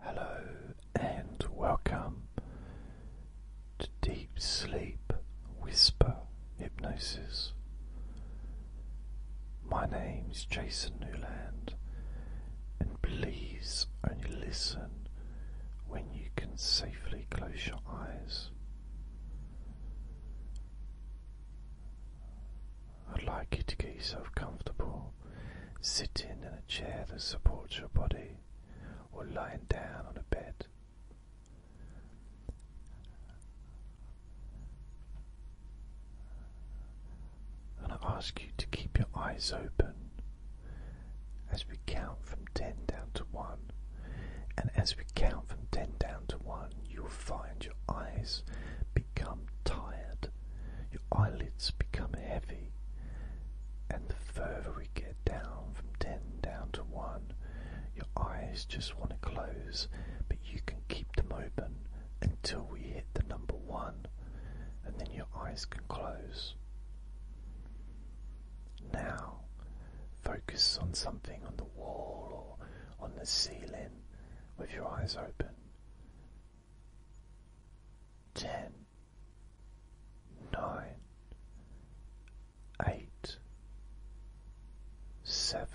Hello and welcome to Deep Sleep Whisper Hypnosis. My name is Jason Newland, and please only listen when you can safely close your eyes. I'd like you to get yourself comfortable sitting in a chair that supports your body, or lying down on a bed. And I ask you to keep your eyes open as we count from 10 down to 1. And as we count from 10 down to 1, you'll find your eyes become tired your eyelids become heavy, and the further we get down from 10 down to 1, your eyes just want to close, but you can keep them open until we hit the number 1, and then your eyes can close. Now, focus on something on the wall or on the ceiling with your eyes open ten, nine, eight, seven,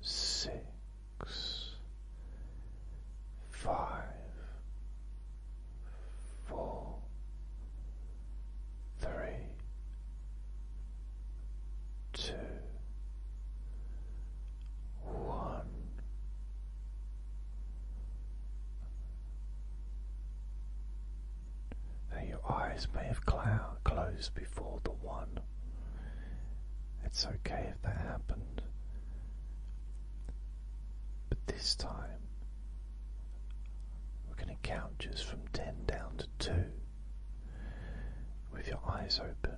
six, five, four, three, two, one. your eyes may have closed before the one. It's okay if that happened. But this time, we're going to count just from 10 down to 2 with your eyes open.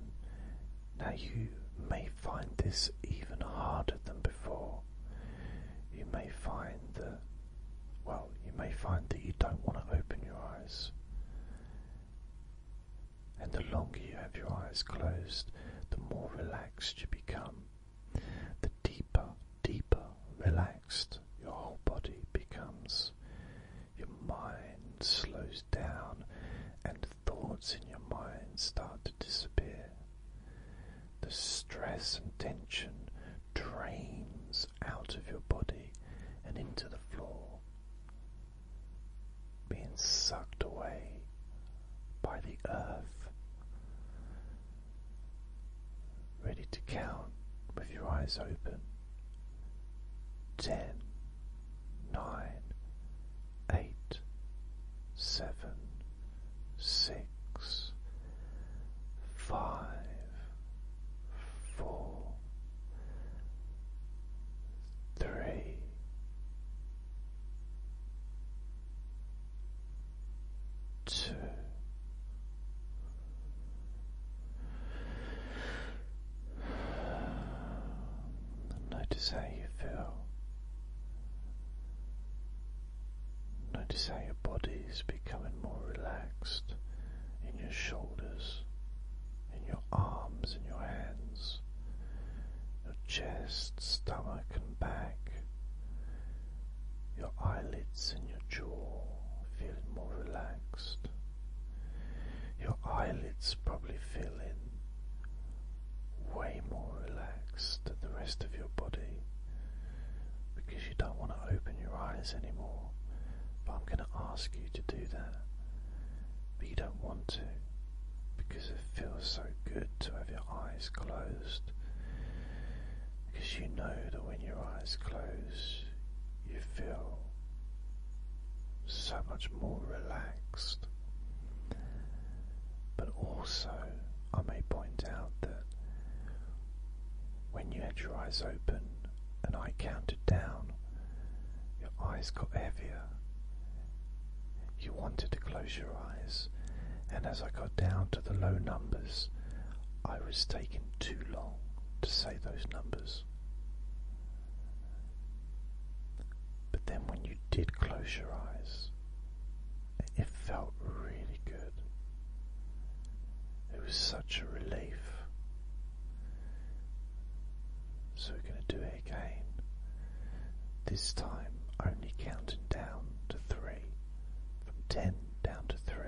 Now you may find this even harder than before. You may find that, well, you may find that you don't want to open your eyes. And the longer you have your eyes closed, the more relaxed you become. The deeper, deeper relaxed your whole body becomes. Your mind slows down and thoughts in your mind start to disappear. The stress and tension drains out of your body and into the floor, being sucked away by the earth. Ready to count with your eyes open. Ten. Nine, eight, seven, six, five, four, three, two. Notice how you feel. Notice how your body is becoming more relaxed in your shoulders, in your arms, in your hands, your chest, stomach, and back, your eyelids and your jaw feeling more relaxed, your eyelids probably feeling way more relaxed than the rest of your body because you don't want to open your eyes anymore. But I'm going to ask you to do that. But you don't want to because it feels so good to have your eyes closed. Because you know that when your eyes close, you feel so much more relaxed. But also, I may point out that when you had your eyes open and I counted down, your eyes got heavier. You wanted to close your eyes, and as I got down to the low numbers, I was taking too long to say those numbers. But then when you did close your eyes, it felt really good. It was such a relief. So we're going to do it again. This time only counting down to three, from ten down to three.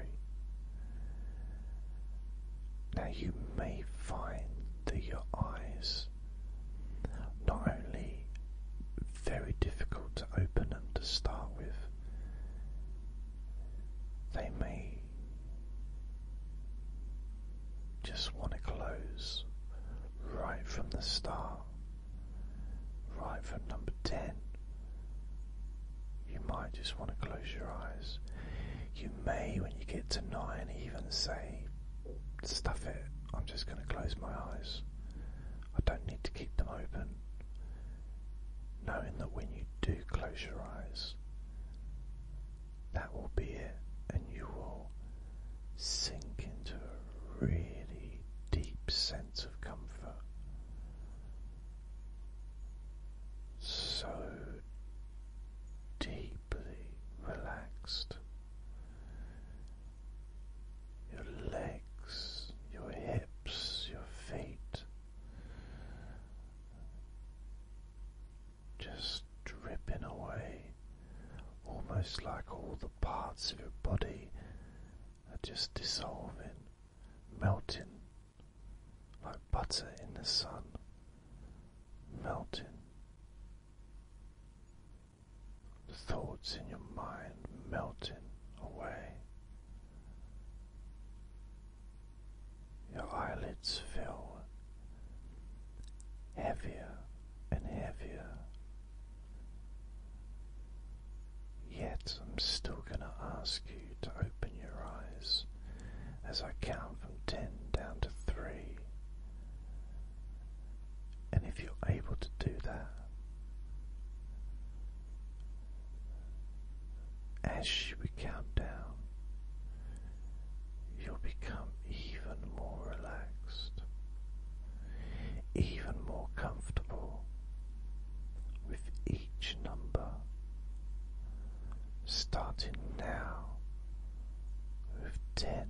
Now you may find that your eyes not only very difficult to open them to start with, they may just want to close right from the start, right from number 10. You might just want to close your eyes. You may, when you get to nine, even say, stuff it. I'm just going to close my eyes. I don't need to keep them open. Knowing that when you do close your eyes, that will be it, and you will sink into a really deep sense of comfort. So deeply relaxed your legs, your hips, your feet. Just dripping away, almost like all the parts of your body are just dissolving, melting like butter in the sun, melting the thoughts in your mind melting away. Your eyelids feel heavier and heavier. Yet I'm still going to ask you to open your eyes as I count from 10 down to 3. And if you're able to do that, as we count down, you'll become even more relaxed, even more comfortable with each number, starting now with ten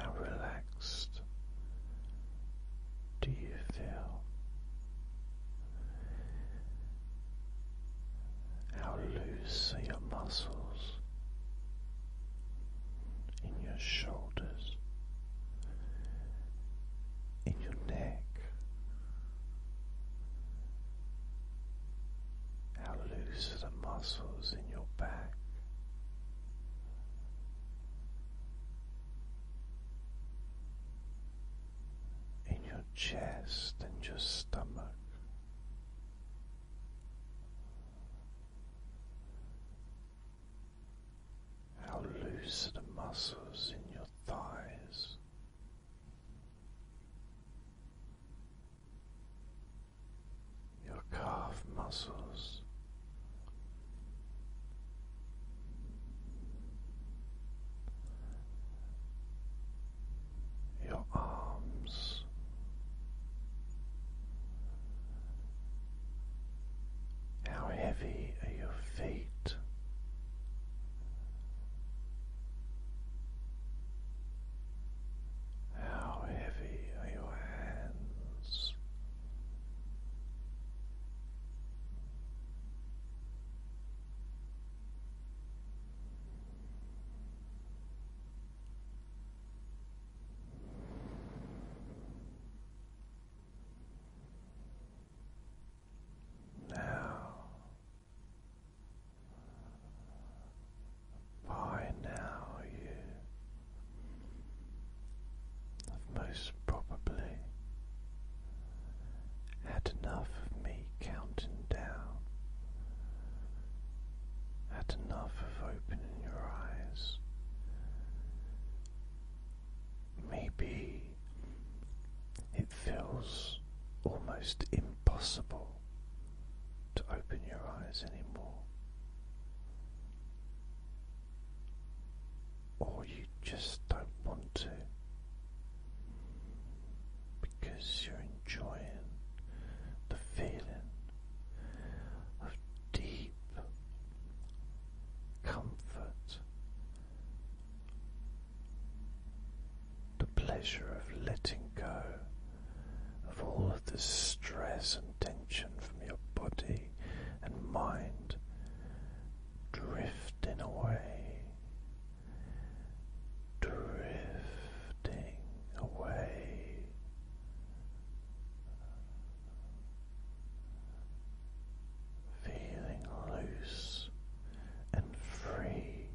how relaxed do you feel? How loose are your muscles in your shoulders, in your neck? How loose are the muscles in your back. In your chest and your stomach, how loose are the muscles in your thighs, your calf muscles. Your arms, how heavy are your feet? How heavy are your hands? Now by now, you have most probably had enough of me counting down, had enough of opening your eyes. Maybe it feels almost impossible to open your eyes anymore, or you just don't want to because you're enjoying the feeling of deep comfort, the pleasure of letting go of all of the stress and tension from your body and mind drifting away, drifting away. Feeling loose and free,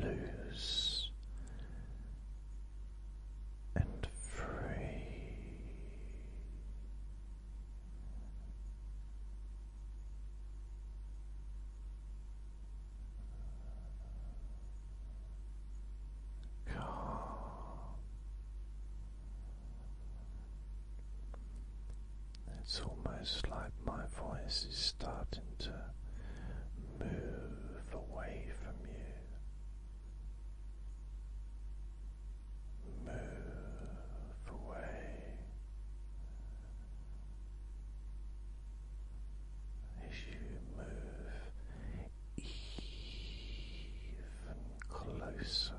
Lose and free. Calm. It's almost like my voice is starting to move away from you, move away as you move even closer.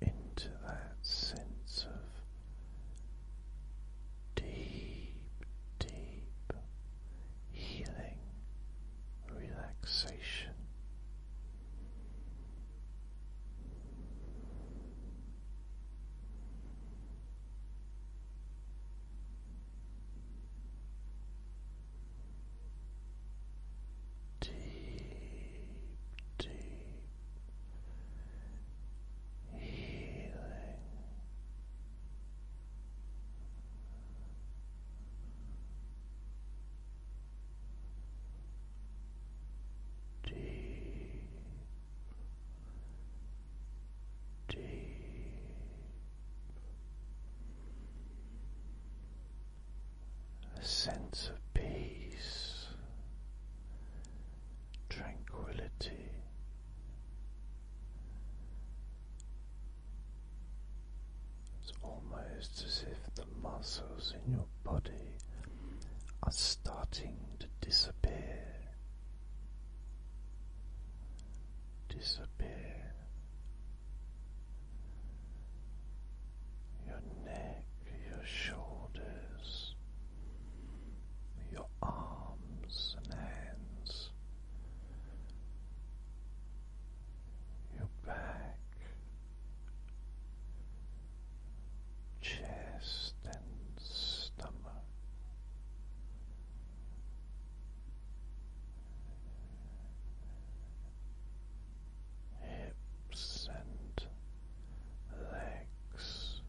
Into that sense of deep, deep healing relaxation. Deep, deep healing. Deep, deep a sense of peace tranquility. It's almost as if the muscles in your body are starting to disappear, disappear. Your neck, your shoulders, your arms and hands, your back, chest and stomach. Hips and legs.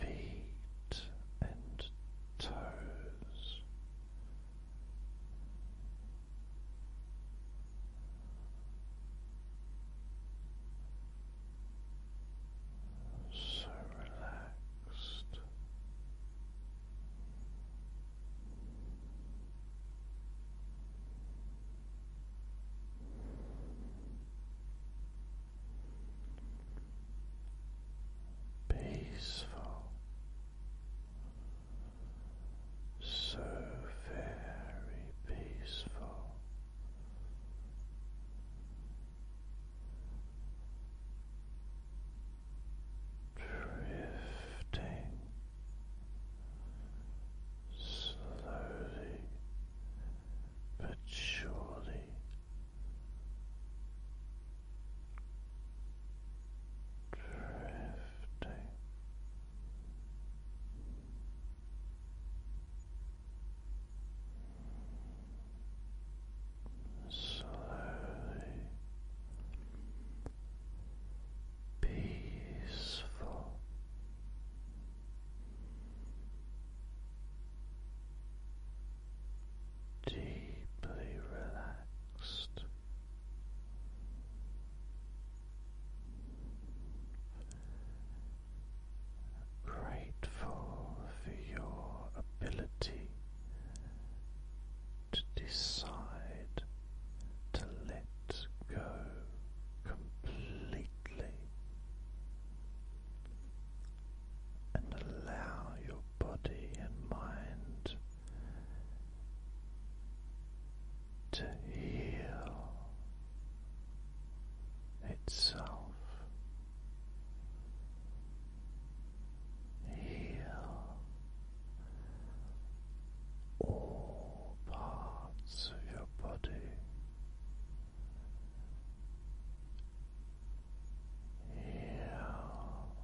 Feet and toes, so relaxed. Peaceful, so very peaceful drifting slowly but surely. Drifting. Slowly peaceful. Deeply relaxed, grateful for your ability to decide to let go completely and allow your body and mind to heal itself. Heal all parts of your body heal,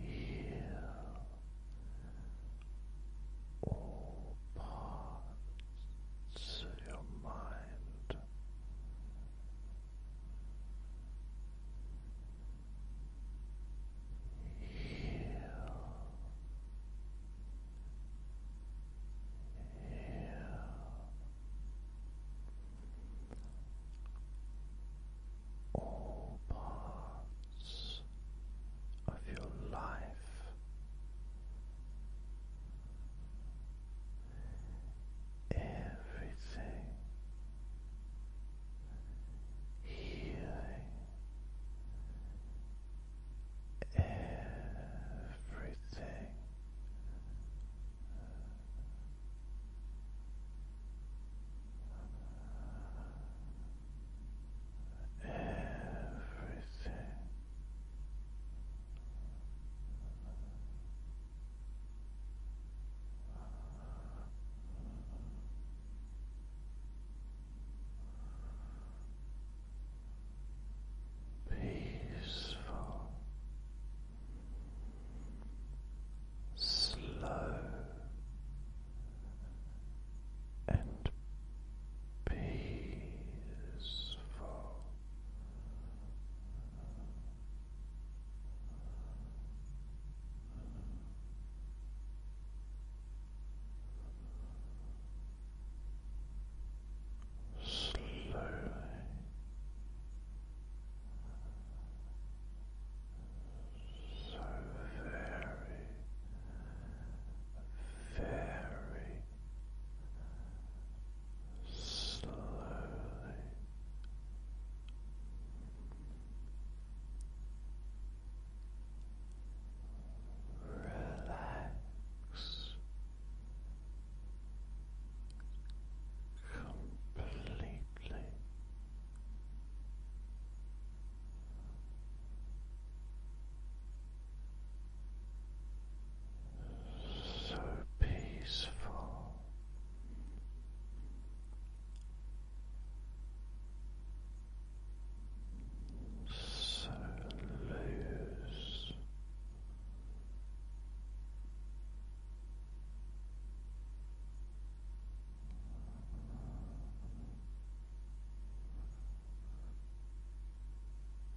heal all parts of your mind all parts of your life. Everything healing everything. Everything. Everything peaceful, slow and peaceful slowly. So very, very slowly Relax completely. So peaceful, so loose.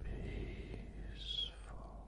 Peaceful.